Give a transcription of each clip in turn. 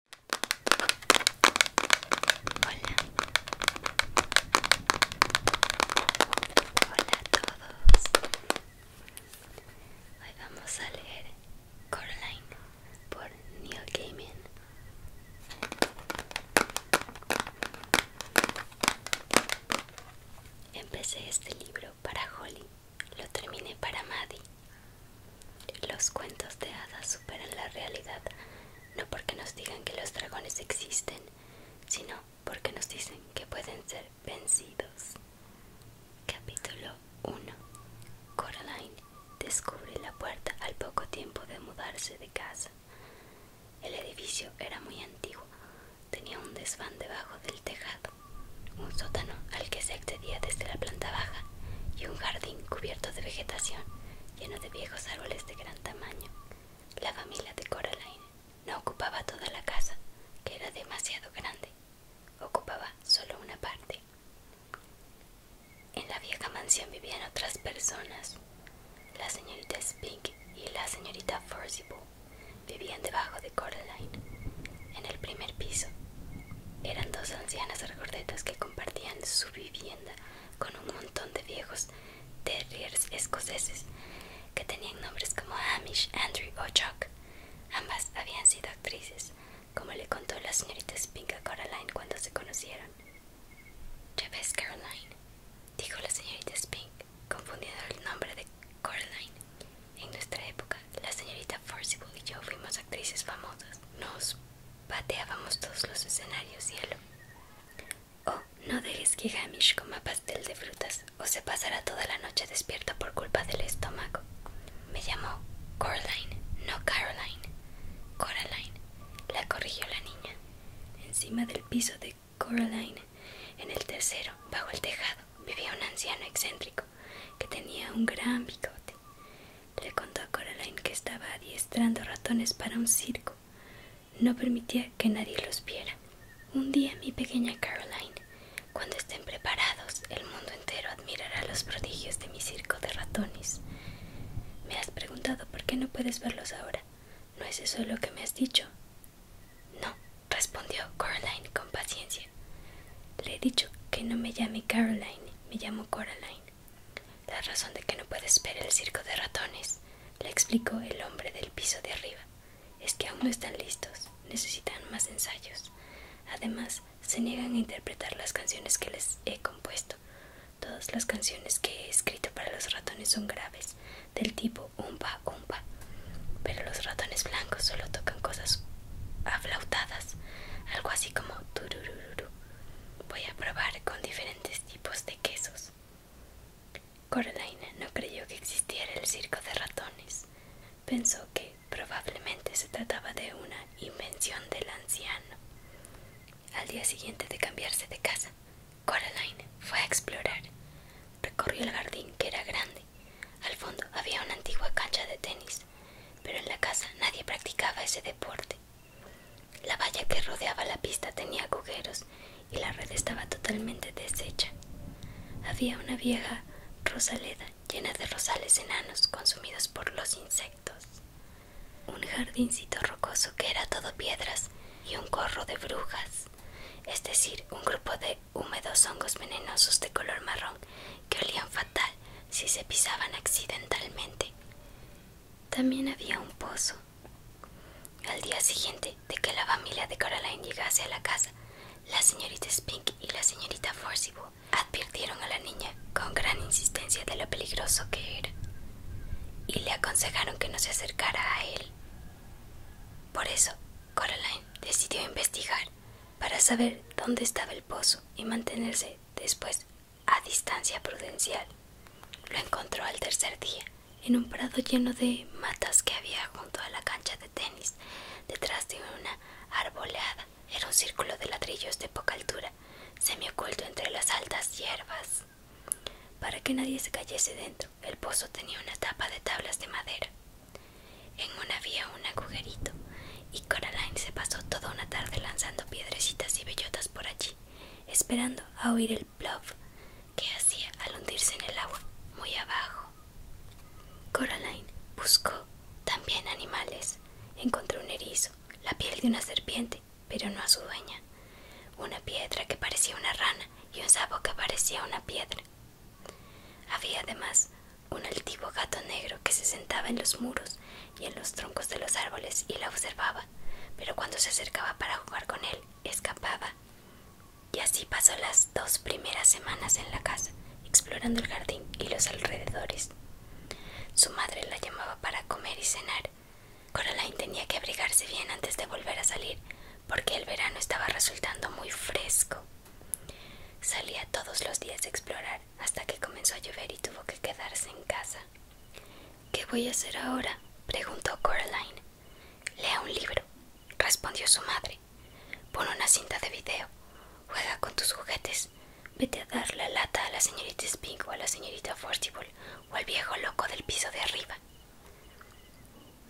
Hola. Hola a todos. Hoy vamos a leer Coraline por Neil Gaiman. Empecé este libro para Holly, lo terminé para Maddie los cuentos de hadas superan la realidad, no porque nos digan que los dragones existen, sino porque nos dicen que pueden ser vencidos. Capítulo 1. Coraline descubre la puerta al poco tiempo de mudarse de casa. El edificio era muy antiguo, tenía un desván debajo del tejado, un sótano al que se este desde la planta baja y un jardín cubierto de vegetación lleno de viejos árboles de gran tamaño. La familia de Coraline no ocupaba toda la casa, que era demasiado grande, ocupaba solo una parte. En la vieja mansión vivían otras personas. La señorita Spink y la señorita Forcible vivían debajo de Coraline, en el primer piso eran dos ancianas regordetas que compartían su vivienda con un montón de viejos terriers escoceses que tenían nombres como Amish, Andrew o Chuck. Ambas habían sido actrices, como le contó la señorita Spink a Coraline cuando se conocieron. Ya ves, Caroline, dijo la señorita Spink, confundiendo el nombre de Coraline. En nuestra época, la señorita Forcible y yo fuimos actrices famosas. Nos Pateábamos todos los escenarios, cielo. Oh, no dejes que Hamish coma pastel de frutas o se pasará toda la noche despierta por culpa del estómago. Me llamó Coraline, no Caroline. Coraline, la corrigió la niña. Encima del piso de Coraline, en el tercero, bajo el tejado, vivía un anciano excéntrico que tenía un gran bigote le contó a Coraline que estaba adiestrando ratones para un circo. No permitía que nadie los viera. Un día, mi pequeña Caroline, cuando estén preparados, el mundo entero admirará los prodigios de mi circo de ratones. Me has preguntado por qué no puedes verlos ahora. ¿No es eso lo que me has dicho? No, respondió Coraline con paciencia. Le he dicho que no me llame Caroline, me llamo Coraline. La razón de que no puedes ver el circo de ratones, le explicó el hombre del piso de arriba, es que aún no están listos, necesitan más ensayos. Además, se niegan a interpretar las canciones que les he compuesto. Todas las canciones que he escrito para los ratones son graves, del tipo umpa umpa. Pero los ratones blancos solo tocan cosas aflautadas, algo así como tururururu. Voy a probar con diferentes tipos de quesos. Coraline no creyó que existiera el circo de ratones. Pensó que probablemente se trataba de una invención del anciano. Al día siguiente de cambiarse de casa, Coraline fue a explorar. Recorrió el jardín, que era grande. Al fondo había una antigua cancha de tenis pero en la casa nadie practicaba ese deporte. La valla que rodeaba la pista tenía agujeros y la red estaba totalmente deshecha. Había una vieja rosaleda llena de rosales enanos consumidos por los insectos, un jardincito rocoso que era todo piedras y un corro de brujas, es decir, un grupo de húmedos hongos venenosos de color marrón que olían fatal si se pisaban accidentalmente. También había un pozo. Al día siguiente de que la familia de Coraline llegase a la casa, la señorita Spink y la señorita Forcible advirtieron a la niña con gran insistencia de lo peligroso que era y le aconsejaron que no se acercara a él. Por eso, Coraline decidió investigar para saber dónde estaba el pozo y mantenerse después a distancia prudencial. Lo encontró al tercer día, en un prado lleno de matas que había junto a la cancha de tenis, detrás de una arboleada. Era un círculo de ladrillos de poca altura, semioculto entre las altas hierbas. Para que nadie se cayese dentro, el pozo tenía una tapa de tablas de madera. En una había un agujerito y Coraline se pasó toda una tarde lanzando piedrecitas y bellotas por allí, esperando a oír el bluff que hacía al hundirse en el agua muy abajo. Coraline buscó también animales. Encontró un erizo, la piel de una serpiente, pero no a su dueña, una piedra que parecía una rana y un sapo que parecía una piedra. Había además un altivo gato negro que se sentaba en los muros y en los troncos de los árboles y la observaba, pero cuando se acercaba para jugar con él, escapaba. Y así pasó las dos primeras semanas en la casa, explorando el jardín y los alrededores. Su madre la llamaba para comer y cenar. Coraline tenía que abrigarse bien antes de volver a salir, porque el verano estaba resultando muy fresco. Salía todos los días a explorar hasta que comenzó a llover y tuvo que quedarse en casa. ¿Qué voy a hacer ahora? preguntó Coraline. Lea un libro, respondió su madre. Pon una cinta de video, juega con tus juguetes, vete a dar la lata a la señorita Spink o a la señorita Forcible o al viejo loco del piso de arriba.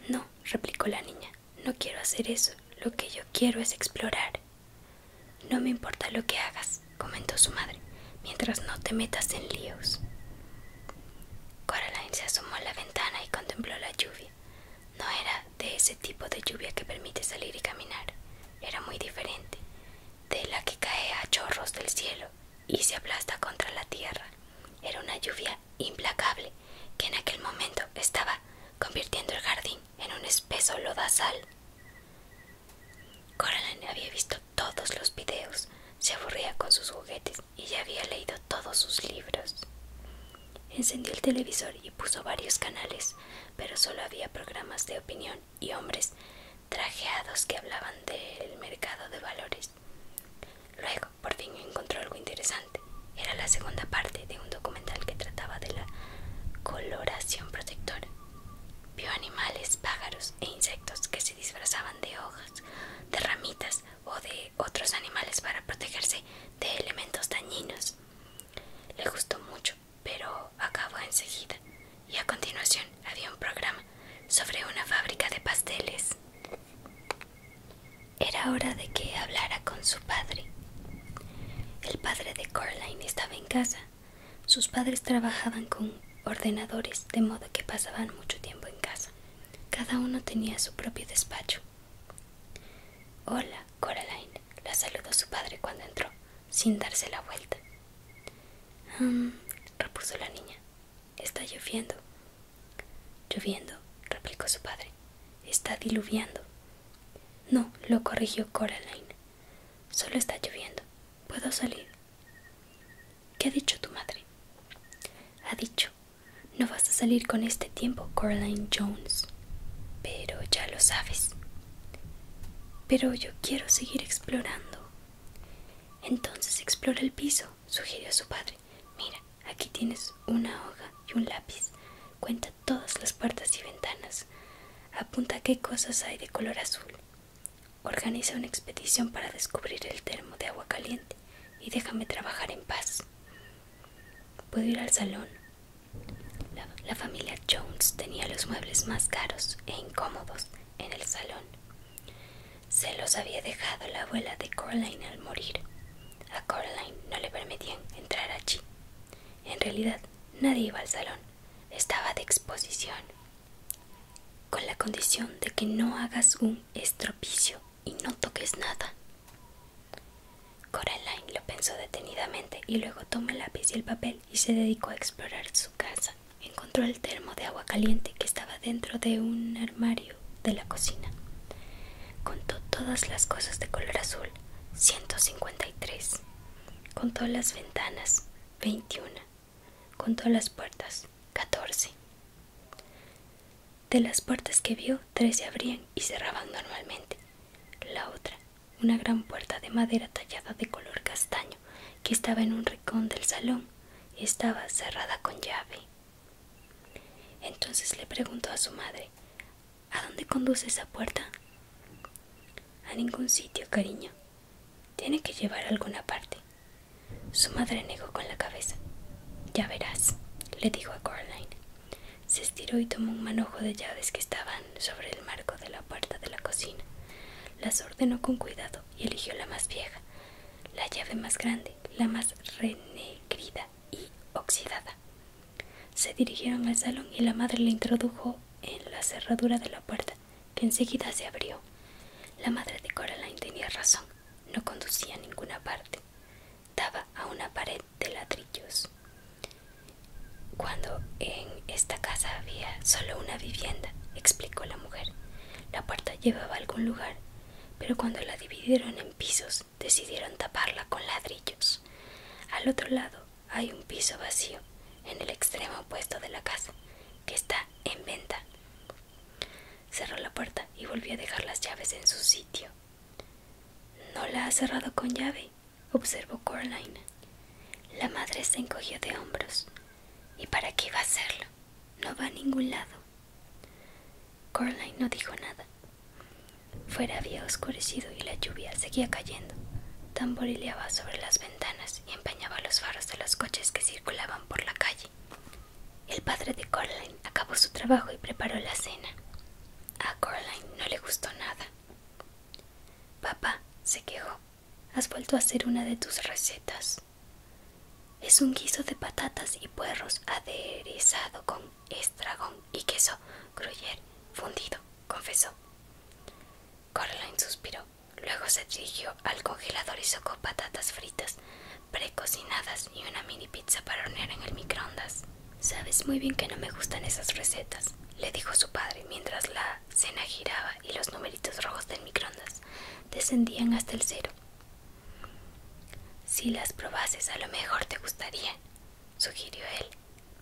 No, replicó la niña, no quiero hacer eso. Lo que yo quiero es explorar. No me importa lo que hagas, comentó su madre, mientras no te metas en líos. Coraline se asomó a la ventana y contempló la lluvia. No era de ese tipo de lluvia que permite salir y caminar. Era muy diferente, de la que cae a chorros del cielo y se aplasta contra la tierra. Era una lluvia implacable que en aquel momento estaba convirtiendo el jardín en un espeso lodazal. Coraline había visto todos los videos, se aburría con sus juguetes y ya había leído todos sus libros. Encendió el televisor y puso varios canales, pero solo había programas de opinión y hombres trajeados que hablaban del mercado de valores. Luego, por fin encontró algo interesante. Era la segunda parte de un documental que trataba de la coloración protectora. Vio animales, pájaros e insectos que se disfrazaban de hojas, de ramitas o de otros animales para protegerse de elementos dañinos. Le gustó mucho, pero acabó enseguida. Y a continuación había un programa sobre una fábrica de pasteles. Era hora de que hablara con su padre. El padre de Coraline estaba en casa sus padres trabajaban con ordenadores, de modo que pasaban mucho tiempo en casa. Cada uno tenía su propio despacho. Hola, Coraline, la saludó su padre cuando entró, sin darse la vuelta. Mm, repuso la niña. Está lloviendo. Lloviendo, replicó su padre. Está diluviando. No, lo corrigió Coraline. Solo está lloviendo. ¿Puedo salir? ¿Qué ha dicho tu madre? Ha dicho, no vas a salir con este tiempo, Coraline Jones. Pero ya lo sabes. Pero yo quiero seguir explorando. Entonces explora el piso, sugirió su padre. Mira, aquí tienes una hoja y un lápiz todas las puertas y ventanas. Apunta qué cosas hay de color azul. Organiza una expedición para descubrir el termo de agua caliente y déjame trabajar en paz. Puedo ir al salón. La, familia Jones tenía los muebles más caros e incómodos en el salón. Se los había dejado la abuela de Coraline al morir. A Coraline no le permitían entrar allí. En realidad, nadie iba al salón estaba de exposición, con la condición de que no hagas un estropicio y no toques nada. Coraline lo pensó detenidamente y luego tomó el lápiz y el papel y se dedicó a explorar su casa. Encontró el termo de agua caliente que estaba dentro de un armario de la cocina. Contó todas las cosas de color azul, 153 contó las ventanas, 21, contó las puertas, catorce De las puertas que vio, tres se abrían y cerraban normalmente. La otra, una gran puerta de madera tallada de color castaño, que estaba en un rincón del salón, estaba cerrada con llave. Entonces le preguntó a su madre, ¿A dónde conduce esa puerta? A ningún sitio, cariño. Tiene que llevar a alguna parte. Su madre negó con la cabeza. Ya verás, le dijo a Coraline. Se estiró y tomó un manojo de llaves que estaban sobre el marco de la puerta de la cocina. Las ordenó con cuidado y eligió la más vieja, la llave más grande, la más renegrida y oxidada. Se dirigieron al salón y la madre la introdujo en la cerradura de la puerta, que enseguida se abrió. La madre de Coraline tenía razón, no conducía a ninguna parte. Daba a una pared de ladrillos. Cuando en esta casa había solo una vivienda, explicó la mujer, la puerta llevaba a algún lugar, pero cuando la dividieron en pisos decidieron taparla con ladrillos. Al otro lado hay un piso vacío en el extremo opuesto de la casa, que está en venta. Cerró la puerta y volvió a dejar las llaves en su sitio. No la ha cerrado con llave, observó Coraline. La madre se encogió de hombros. ¿Y para qué iba a hacerlo? No va a ningún lado. Corline no dijo nada. Fuera había oscurecido y la lluvia seguía cayendo. Tamborileaba sobre las ventanas y empañaba los faros de los coches que circulaban por la calle. El padre de Corline acabó su trabajo y preparó la cena. A Corline no le gustó nada. Papá, se quejó, has vuelto a hacer una de tus recetas. Es un guiso de patatas y puerros aderezado con estragón y queso gruyer fundido confesó. Coraline suspiró. Luego se dirigió al congelador y sacó patatas fritas precocinadas y una mini pizza para hornear en el microondas. Sabes muy bien que no me gustan esas recetas, le dijo su padre mientras la cena giraba y los numeritos rojos del microondas descendían hasta el cero. Si las probases a lo mejor te gustaría sugirió él,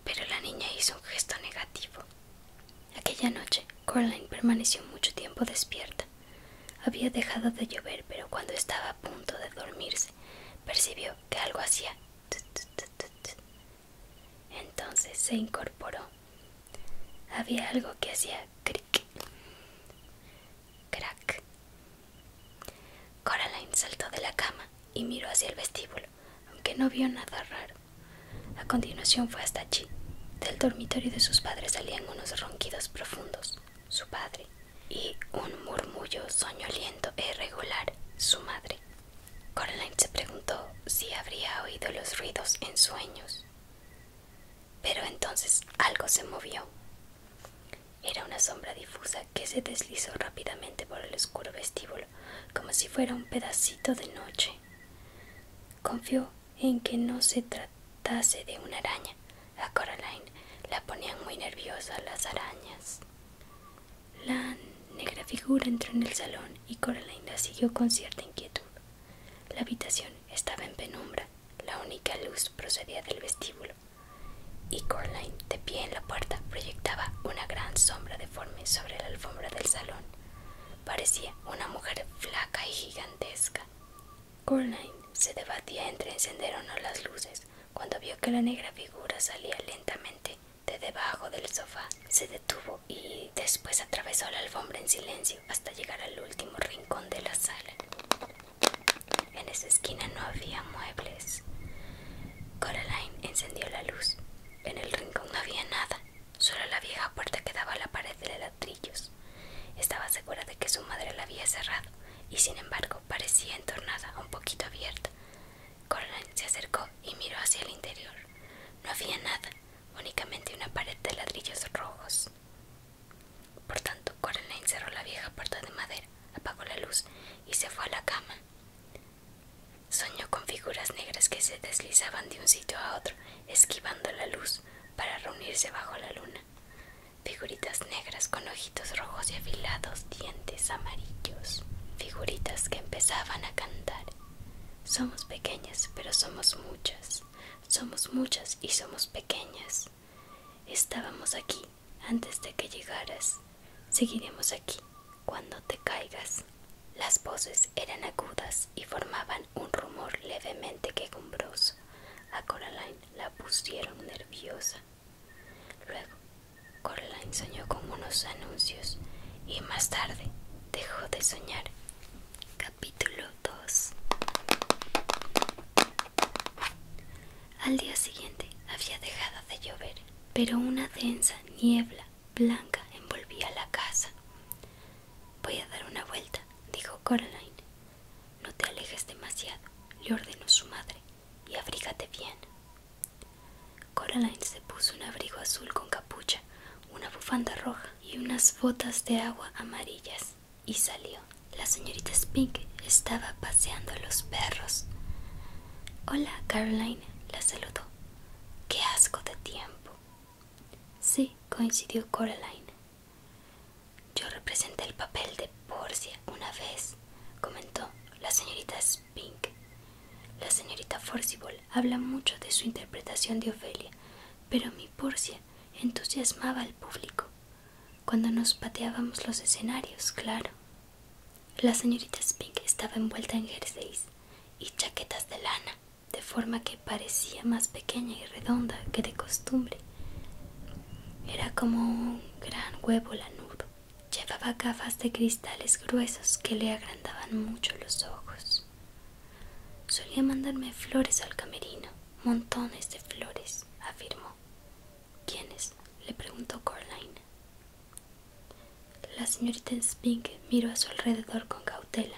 pero la niña hizo un gesto negativo. Aquella noche, Coraline permaneció mucho tiempo despierta. Había dejado de llover, pero cuando estaba a punto de dormirse, percibió que algo hacía. Entonces se incorporó. Había algo que hacía cric, crack. Coraline saltó de la cama y miró hacia el vestíbulo aunque no vio nada raro. A continuación fue hasta allí. Del dormitorio de sus padres salían unos ronquidos profundos, su padre, y un murmullo soñoliento e irregular, su madre. Coraline se preguntó si habría oído los ruidos en sueños. Pero entonces algo se movió. Era una sombra difusa que se deslizó rápidamente por el oscuro vestíbulo como si fuera un pedacito de noche. Confió en que no se tratase de una araña. A Coraline la ponían muy nerviosa las arañas. La negra figura entró en el salón y Coraline la siguió con cierta inquietud. La habitación estaba en penumbra, la única luz procedía del vestíbulo, y Coraline de pie en la puerta proyectaba una gran sombra deforme sobre la alfombra del salón. Parecía una mujer flaca y gigantesca. Coraline se debatía entre encender o no las luces cuando vio que la negra figura salía lentamente de debajo del sofá. Se detuvo y después atravesó la alfombra en silencio hasta llegar al último rincón de la sala. En esa esquina no había muebles. Coraline encendió la luz en el rincón no había nada, solo la vieja puerta que daba a la pared de ladrillos. Estaba segura de que su madre la había cerrado y sin embargo parecía entornada, un poquito abierta. Coraline se acercó y miró hacia el interior. No había nada, únicamente una pared de ladrillos rojos. Por tanto, Coraline cerró la vieja puerta de madera, apagó la luz y se fue a la cama. Soñó con figuras negras que se deslizaban de un sitio a otro, esquivando la luz para reunirse bajo la luna. Figuritas negras con ojitos rojos y afilados dientes amarillos. Figuritas que empezaban a cantar. Somos pequeñas, pero somos muchas. Somos muchas y somos pequeñas. Estábamos aquí antes de que llegaras. Seguiremos aquí cuando te caigas. Las voces eran agudas y formaban un rumor levemente quejumbroso. A Coraline la pusieron nerviosa. Luego, Coraline soñó con unos anuncios y más tarde dejó de soñar. Capítulo 2 Al día siguiente había dejado de llover pero una densa niebla blanca envolvía la casa. Voy a dar una vuelta, dijo Coraline. No te alejes demasiado, le ordenó su madre, y abrígate bien. Coraline se puso un abrigo azul con capucha, una bufanda roja y unas botas de agua amarillas, y salió. La señorita Spink estaba paseando a los perros. Hola, Caroline, la saludó. ¡Qué asco de tiempo! Sí, coincidió Coraline. Yo representé el papel de Porcia una vez, comentó la señorita Spink. La señorita Forcible habla mucho de su interpretación de Ofelia, pero mi Porcia entusiasmaba al público. Cuando nos pateábamos los escenarios, claro. La señorita Spink estaba envuelta en jerseys y chaquetas de lana, de forma que parecía más pequeña y redonda que de costumbre. Era como un gran huevo lanudo. Llevaba gafas de cristales gruesos que le agrandaban mucho los ojos. Solía mandarme flores al camerino, montones de flores, afirmó. ¿Quiénes? le preguntó Corline. La señorita Spink miró a su alrededor con cautela,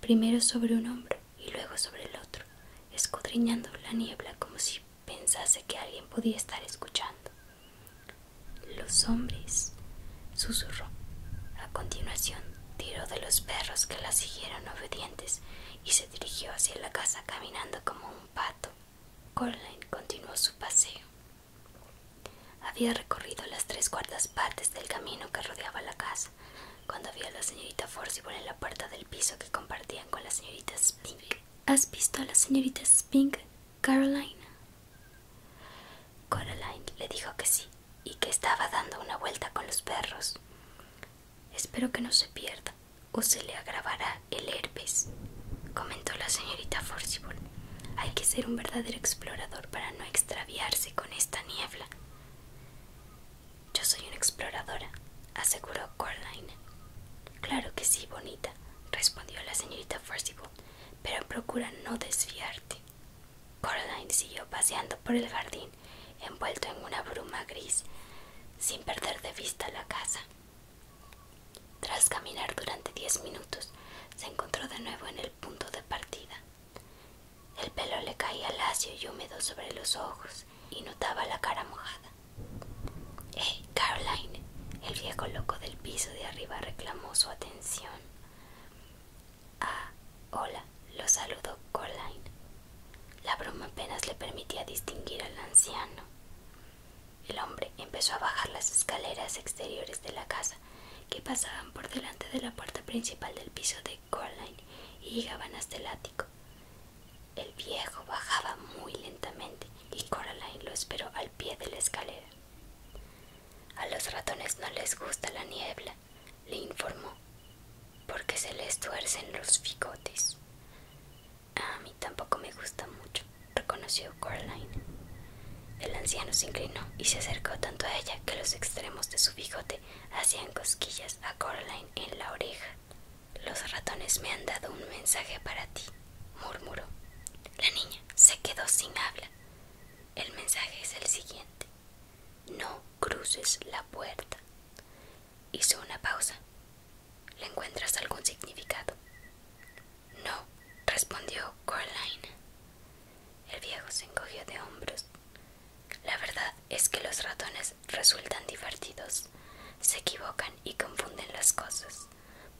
primero sobre un hombro y luego sobre el otro, escudriñando la niebla como si pensase que alguien podía estar escuchando. Los hombres, susurró. A continuación, tiró de los perros que la siguieron obedientes y se dirigió hacia la casa caminando como un pato. Coraline continuó su paseo. Había recorrido las tres cuartas partes del camino que rodeaba la casa cuando vio a la señorita Forsyth en la puerta del piso que compartían con la señorita Spink. ¿Has visto a la señorita Spink, Caroline? Coraline le dijo que sí y que estaba dando una vuelta con los perros. Espero que no se pierda o se le agravará el herpes, comentó la señorita Forsyth hay que ser un verdadero explorador para no extraviarse con esta niebla. Yo soy una exploradora, aseguró Coraline. Claro que sí, bonita, respondió la señorita Forcible, pero procura no desviarte. Coraline siguió paseando por el jardín, envuelto en una bruma gris, sin perder de vista la casa. Tras caminar durante diez minutos, se encontró de nuevo en el punto de partida. El pelo le caía lacio y húmedo sobre los ojos y notaba la cara mojada. ¡Hey, eh, Caroline! El viejo loco del piso de arriba reclamó su atención. Ah, hola, lo saludó Caroline. La broma apenas le permitía distinguir al anciano. El hombre empezó a bajar las escaleras exteriores de la casa que pasaban por delante de la puerta principal del piso de Coraline y llegaban hasta el ático. El viejo bajaba muy lentamente y Coraline lo esperó al pie de la escalera. A los ratones no les gusta la niebla, le informó, porque se les tuercen los bigotes. A mí tampoco me gusta mucho, reconoció Coraline. El anciano se inclinó y se acercó tanto a ella que los extremos de su bigote hacían cosquillas a Coraline en la oreja. Los ratones me han dado un mensaje para ti, murmuró. La niña se quedó sin habla. El mensaje es el siguiente. No cruces la puerta. Hizo una pausa. ¿Le encuentras algún significado? No, respondió Coraline. El viejo se encogió de hombros. La verdad es que los ratones resultan divertidos. Se equivocan y confunden las cosas.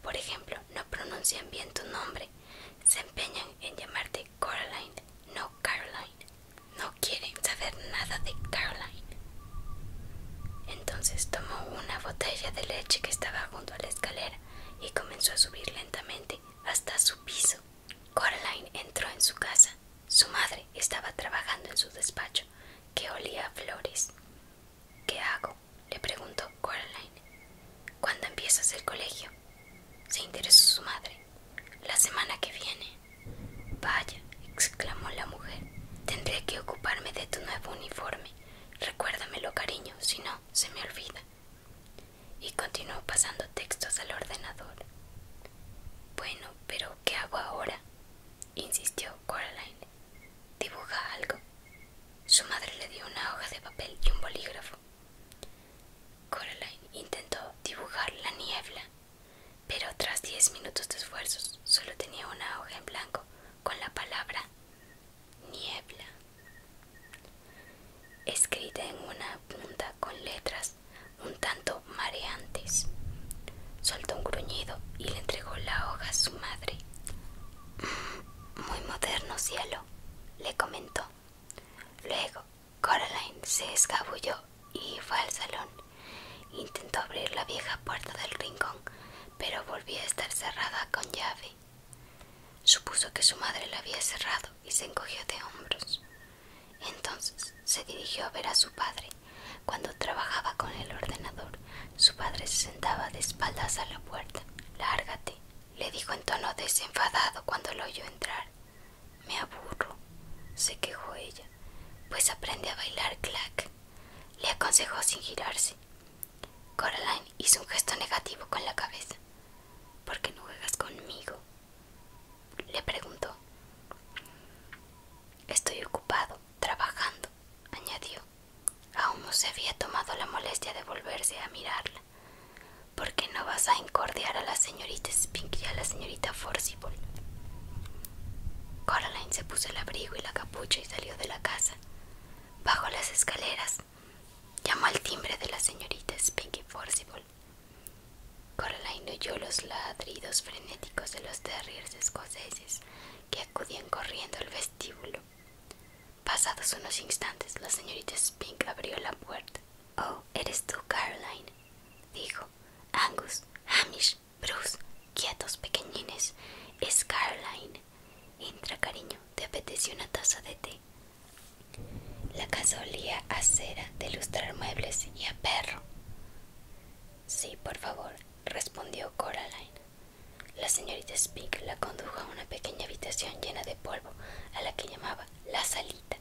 Por ejemplo, no pronuncian bien tu nombre. Se empeñan en llamarte Coraline, no Caroline. No quieren saber nada de Caroline. Entonces tomó una botella de leche que estaba junto al escalera y comenzó a subir lentamente hasta su piso. Coraline entró en su casa. Su madre estaba trabajando en su despacho, que olía a flores. ¿Qué hago? le preguntó Coraline. ¿Cuándo empiezas el colegio? se interesó su madre. La semana que viene. Vaya, exclamó la mujer, tendré que ocuparme de tu nuevo uniforme. Recuérdamelo, cariño, si no, se me olvida. Y continuó pasando textos al ordenador. Bueno, pero ¿qué hago ahora? insistió Coraline. Dibuja algo. Su madre le dio una hoja de papel y un bolígrafo. Coraline intentó dibujar la niebla, pero tras diez minutos de esfuerzos solo tenía una hoja en blanco con la palabra niebla, escrita en una punta con letras un tanto mareantes. Soltó un gruñido y le entregó la hoja a su madre. Mm, muy moderno cielo, le comentó. Luego, Coraline se escabulló y fue al salón. Intentó abrir la vieja puerta del rincón pero volvía a estar cerrada con llave. Supuso que su madre la había cerrado y se encogió de hombros. Entonces se dirigió a ver a su padre. Cuando trabajaba con el ordenador, su padre se sentaba de espaldas a la puerta. Lárgate, le dijo en tono desenfadado cuando lo oyó entrar. Me aburro, se quejó ella. Pues aprende a bailar clack, le aconsejó sin girarse. Coraline hizo un gesto negativo con la cabeza. ¿Por qué no juegas conmigo? Le preguntó. Estoy ocupado, trabajando, añadió. Aún no se había tomado la molestia de volverse a mirarla. ¿Por qué no vas a encordiar a la señorita Spink y a la señorita Forcible? Coraline se puso el abrigo y la capucha y salió de la casa. Bajo las escaleras, llamó al timbre de la señorita Spinky Forcible. Caroline oyó los ladridos frenéticos de los terriers escoceses que acudían corriendo al vestíbulo. Pasados unos instantes, la señorita Spink abrió la puerta. Oh, eres tú, Caroline, dijo. Angus, Hamish, Bruce, quietos, pequeñines. Es Caroline. Entra, cariño, ¿te apetece una taza de té? La casa olía a cera de lustrar muebles y a perro. Sí, por favor, respondió Coraline. La señorita Speak la condujo a una pequeña habitación llena de polvo, a la que llamaba la salita.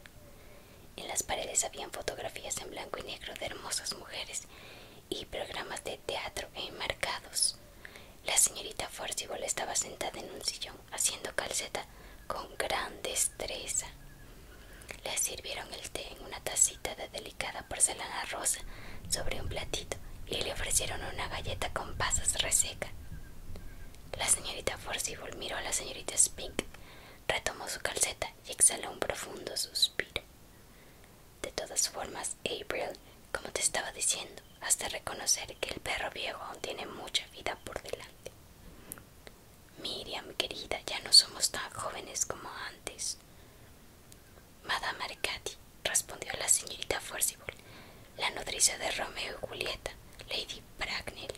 En las paredes habían fotografías en blanco y negro de hermosas mujeres y programas de teatro enmarcados. La señorita Forcible estaba sentada en un sillón haciendo calceta con gran destreza. Le sirvieron el té en una tacita de delicada porcelana rosa sobre un platito y le ofrecieron una galleta con pasas reseca. La señorita Forcible miró a la señorita Spink, retomó su calceta y exhaló un profundo suspiro. De todas formas, April, como te estaba diciendo, has de reconocer que el perro viejo aún tiene mucha vida por delante. Miriam, querida, ya no somos tan jóvenes como antes. Madame Arcati, respondió la señorita Forcible, la nodriza de Romeo y Julieta, Lady Bracknell.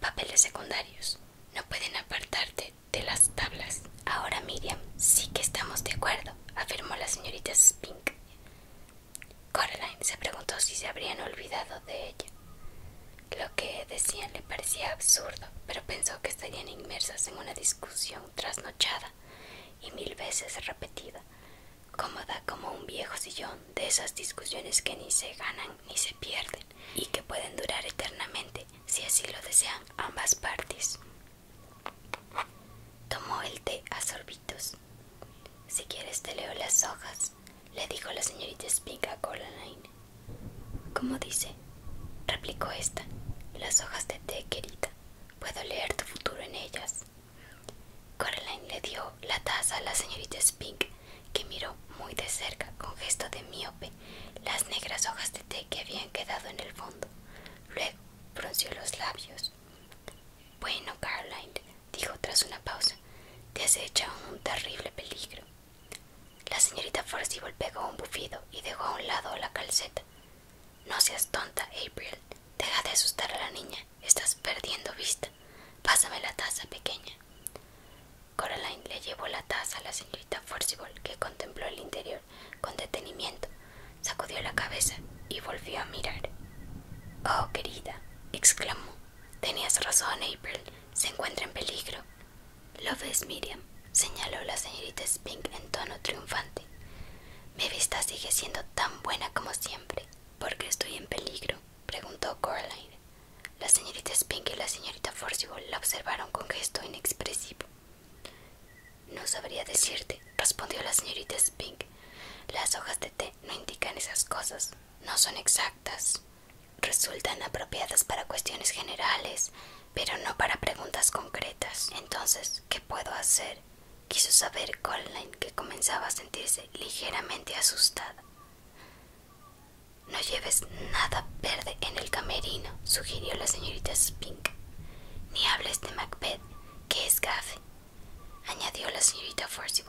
Papeles secundarios. No pueden apartarte de las tablas. Ahora, Miriam, sí que estamos de acuerdo, afirmó la señorita Spink. Coraline se preguntó si se habrían olvidado de ella. Lo que decían le parecía absurdo, pero pensó que estarían inmersas en una discusión trasnochada y mil veces repetida, cómoda como un viejo sillón de esas discusiones que ni se ganan ni se pierden y que pueden durar eternamente si así lo desean ambas partes. Tomó el té a sorbitos. Si quieres te leo las hojas, le dijo la señorita Spink a Coraline. ¿Cómo dice? replicó esta. Las hojas de té, querida. Puedo leer tu futuro en ellas. Coraline le dio la taza a la señorita Spink, que miró muy de cerca, con gesto de miope, las negras hojas de té que habían quedado en el fondo. Luego frunció los labios. Bueno, Caroline, dijo tras una pausa, te has hecho un terrible peligro. La señorita Forcible pegó un bufido y dejó a un lado la calceta. No seas tonta, April. Deja de asustar a la niña. Estás perdiendo vista. Pásame la taza pequeña. Caroline le llevó la taza a la señorita Forcible, que contempló el interior con detenimiento, sacudió la cabeza y volvió a mirar. Oh, querida, exclamó. Tenías razón, April. Se encuentra en peligro. Lo ves, Miriam, señaló la señorita Spink en tono triunfante. Mi vista sigue siendo tan buena como siempre. ¿Por qué estoy en peligro? preguntó Coraline. La señorita Spink y la señorita Forcible la observaron con gesto inexpresivo. No sabría decirte, respondió la señorita Spink. Las hojas de té no indican esas cosas. No son exactas. Resultan apropiadas para cuestiones generales, pero no para preguntas concretas. Entonces, ¿qué puedo hacer? Quiso saber Colin, que comenzaba a sentirse ligeramente asustada. No lleves nada verde en el camerino, sugirió la señorita Spink. Ni hables de Macbeth ¿Qué es Gaffy? añadió la señorita Forsyth.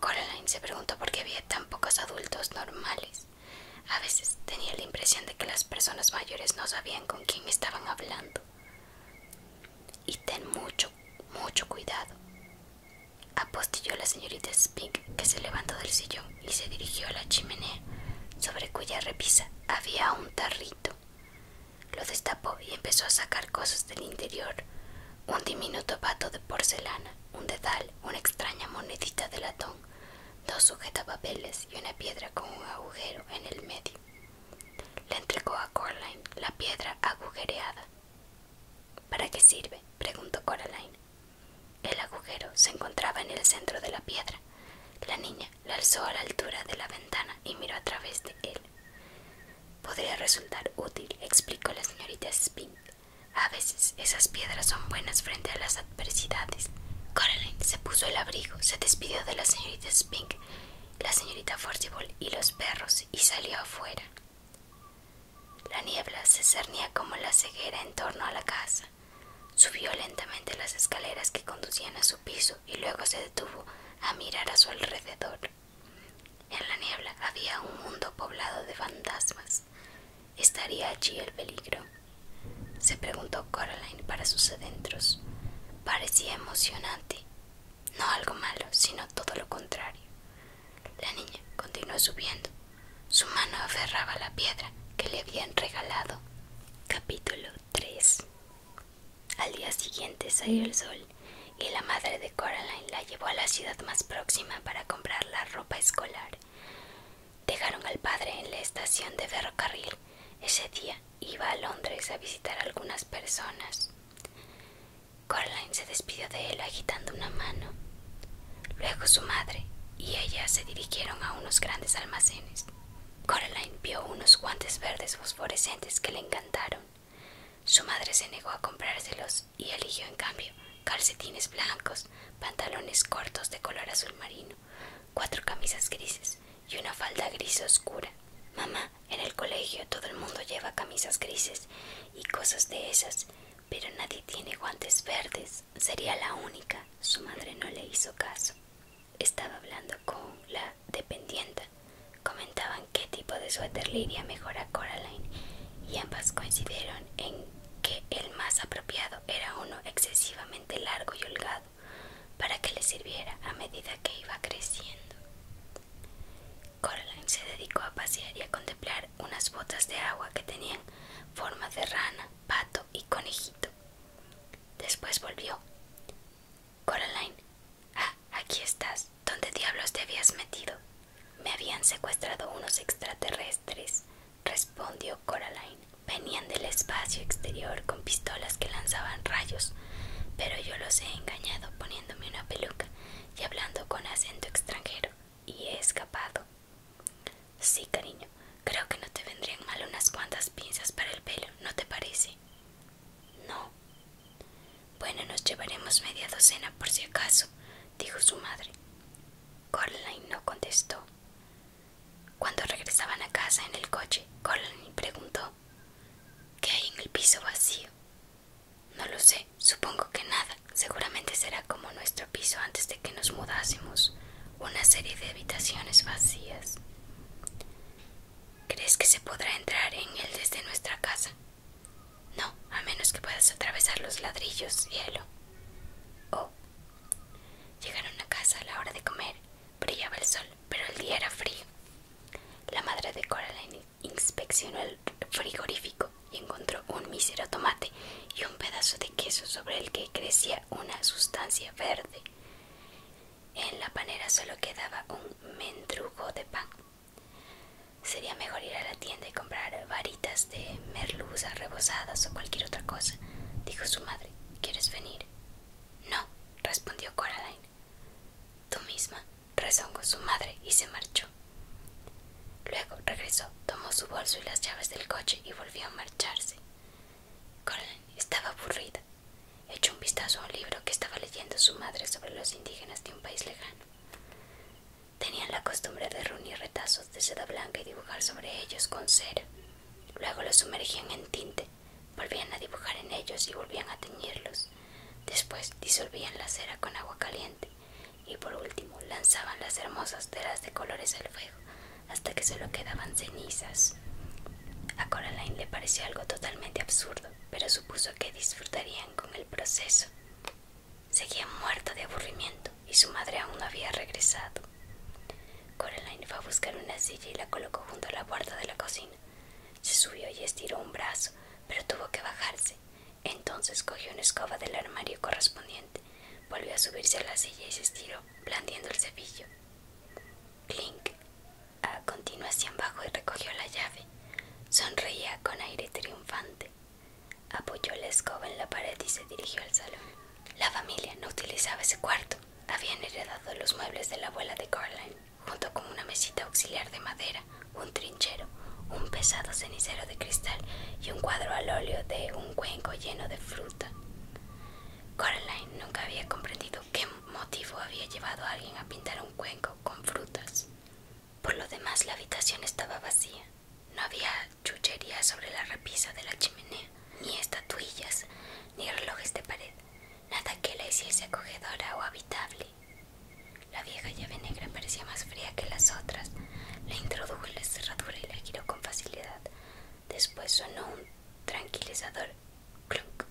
Coraline se preguntó por qué había tan pocos adultos normales. A veces tenía la impresión de que las personas mayores no sabían con quién estaban hablando. Y ten mucho, mucho cuidado. Apostilló la señorita Spink, que se levantó del sillón y se dirigió a la chimenea, sobre cuya repisa había un tarrito. Lo destapó y empezó a sacar cosas del interior. Un diminuto vato de porcelana, un dedal, una extraña monedita de latón, dos sujetapapeles y una piedra con un agujero en el medio. Le entregó a Coraline la piedra agujereada. ¿Para qué sirve? preguntó Coraline. El agujero se encontraba en el centro de la piedra. La niña la alzó a la altura de la ventana y miró a través de él. Podría resultar útil, explicó la señorita Spink. A veces esas piedras son buenas frente a las adversidades. Coraline se puso el abrigo, se despidió de la señorita Spink, la señorita Forcible y los perros y salió afuera. La niebla se cernía como la ceguera en torno a la casa. Subió lentamente las escaleras que conducían a su piso y luego se detuvo a mirar a su alrededor. En la niebla había un mundo poblado de fantasmas. ¿Estaría allí el peligro? Se preguntó Coraline para sus adentros. Parecía emocionante. No algo malo, sino todo lo contrario. La niña continuó subiendo. Su mano aferraba la piedra que le habían regalado. Capítulo 3 al día siguiente salió el sol y la madre de Coraline la llevó a la ciudad más próxima para comprar la ropa escolar. Dejaron al padre en la estación de ferrocarril. Ese día iba a Londres a visitar a algunas personas. Coraline se despidió de él agitando una mano. Luego su madre y ella se dirigieron a unos grandes almacenes. Coraline vio unos guantes verdes fosforescentes que le encantaron. Su madre se negó a comprárselos y eligió en cambio calcetines blancos, pantalones cortos de color azul marino, cuatro camisas grises y una falda gris oscura. Mamá, en el colegio todo el mundo lleva camisas grises y cosas de esas, pero nadie tiene guantes verdes. Sería la única. Su madre no le hizo caso. Estaba hablando con la dependienta. Comentaban qué tipo de suéter le iría mejor a Coraline y ambas coincidieron en que el más apropiado era uno excesivamente largo y holgado para que le sirviera a medida que iba creciendo. Coraline se dedicó a pasear y a contemplar unas botas de agua que tenían forma de rana, pato y conejito. Después volvió. Coraline. Ah, aquí estás. ¿Dónde diablos te habías metido? Me habían secuestrado unos extraterrestres, respondió Coraline. Venían del espacio exterior con pistolas que lanzaban rayos, pero yo los he engañado poniéndome una peluca y hablando con acento extranjero, y he escapado. Sí, cariño, Creo que no te vendrían mal unas cuantas pinzas para el pelo, ¿no te parece? No. Bueno, nos llevaremos media docena por si acaso, dijo su madre. Coraline no contestó. Cuando regresaban a casa en el coche, Coraline preguntó ¿Qué hay en el piso vacío? No lo sé, supongo que nada. Seguramente será como nuestro piso antes de que nos mudásemos, una serie de habitaciones vacías. ¿Crees que se podrá entrar en él desde nuestra casa? No, a menos que puedas atravesar los ladrillos, hielo. Oh. Llegaron a casa a la hora de comer. Brillaba el sol, pero el día era frío. La madre de Coraline inspeccionó el frigorífico y encontró un mísero tomate y un pedazo de queso sobre el que crecía una sustancia verde. En la panera solo quedaba un mendrugo de pan. Sería mejor ir a la tienda y comprar varitas de merluza rebozadas o cualquier otra cosa, dijo su madre. ¿Quieres venir? No, respondió Coraline. Tú misma, rezongó su madre y se marchó. Luego regresó, tomó su bolso y las llaves del coche y volvió a marcharse. Caroline estaba aburrida. Echó un vistazo a un libro que estaba leyendo su madre sobre los indígenas de un país lejano. Tenían la costumbre de reunir retazos de seda blanca y dibujar sobre ellos con cera. Luego los sumergían en tinte, volvían a dibujar en ellos y volvían a teñirlos. Después disolvían la cera con agua caliente y por último lanzaban las hermosas telas de colores al fuego hasta que solo quedaban cenizas. A Coraline le pareció algo totalmente absurdo, pero supuso que disfrutarían con el proceso. Seguía muerta de aburrimiento y su madre aún no había regresado. Coraline fue a buscar una silla y la colocó junto a la puerta de la cocina. Se subió y estiró un brazo, pero tuvo que bajarse. Entonces cogió una escoba del armario correspondiente, volvió a subirse a la silla y se estiró, blandiendo el cepillo. Clink a continuación abajo y recogió la llave. Sonreía con aire triunfante. Apoyó la escoba en la pared y se dirigió al salón. La familia no utilizaba ese cuarto. Habían heredado los muebles de la abuela de Caroline, junto con una mesita auxiliar de madera, un trinchero, un pesado cenicero de cristal y un cuadro al óleo de un cuenco lleno de fruta. Coraline nunca había comprendido qué motivo había llevado a alguien a pintar un cuenco con frutas. Por lo demás, la habitación estaba vacía. No había chuchería sobre la repisa de la chimenea, ni estatuillas, ni relojes de pared, nada que la hiciese acogedora o habitable. La vieja llave negra parecía más fría que las otras. La introdujo en la cerradura y la giró con facilidad. Después sonó un tranquilizador. Clunk.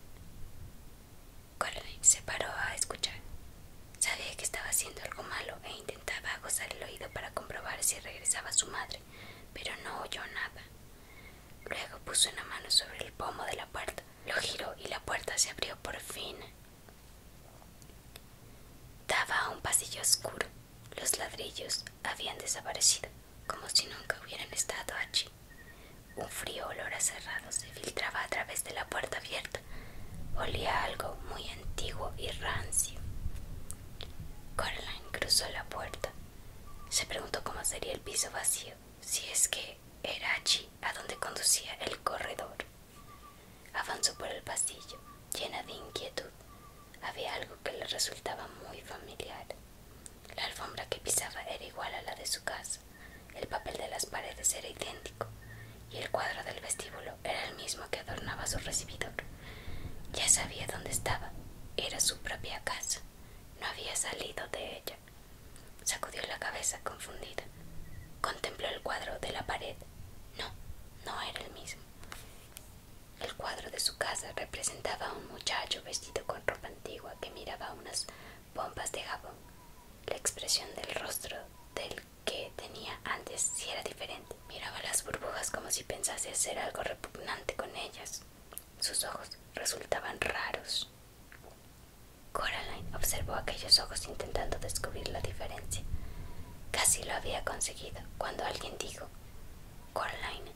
se paró a escuchar. Sabía que estaba haciendo algo malo e intentaba aguzar el oído para comprobar si regresaba su madre, pero no oyó nada. Luego puso una mano sobre el pomo de la puerta, lo giró y la puerta se abrió por fin. Daba a un pasillo oscuro. Los ladrillos habían desaparecido como si nunca hubieran estado allí. Un frío olor acerrado se filtraba a través de la puerta abierta. Olía algo muy antiguo y rancio. Coraline cruzó la puerta. Se preguntó cómo sería el piso vacío, si es que era allí a donde conducía el corredor. Avanzó por el pasillo, llena de inquietud. Había algo que le resultaba muy familiar. La alfombra que pisaba era igual a la de su casa, el papel de las paredes era idéntico y el cuadro del vestíbulo era el mismo que adornaba su recibidor. Ya sabía dónde estaba, era su propia casa, no había salido de ella. Sacudió la cabeza confundida, contempló el cuadro de la pared. No, no era el mismo. El cuadro de su casa representaba a un muchacho vestido con ropa antigua que miraba unas bombas de jabón. La expresión del rostro del que tenía antes sí era diferente. Miraba las burbujas como si pensase hacer algo repugnante con ellas. Sus ojos resultaban raros. Coraline observó aquellos ojos intentando descubrir la diferencia. Casi lo había conseguido cuando alguien dijo, Coraline.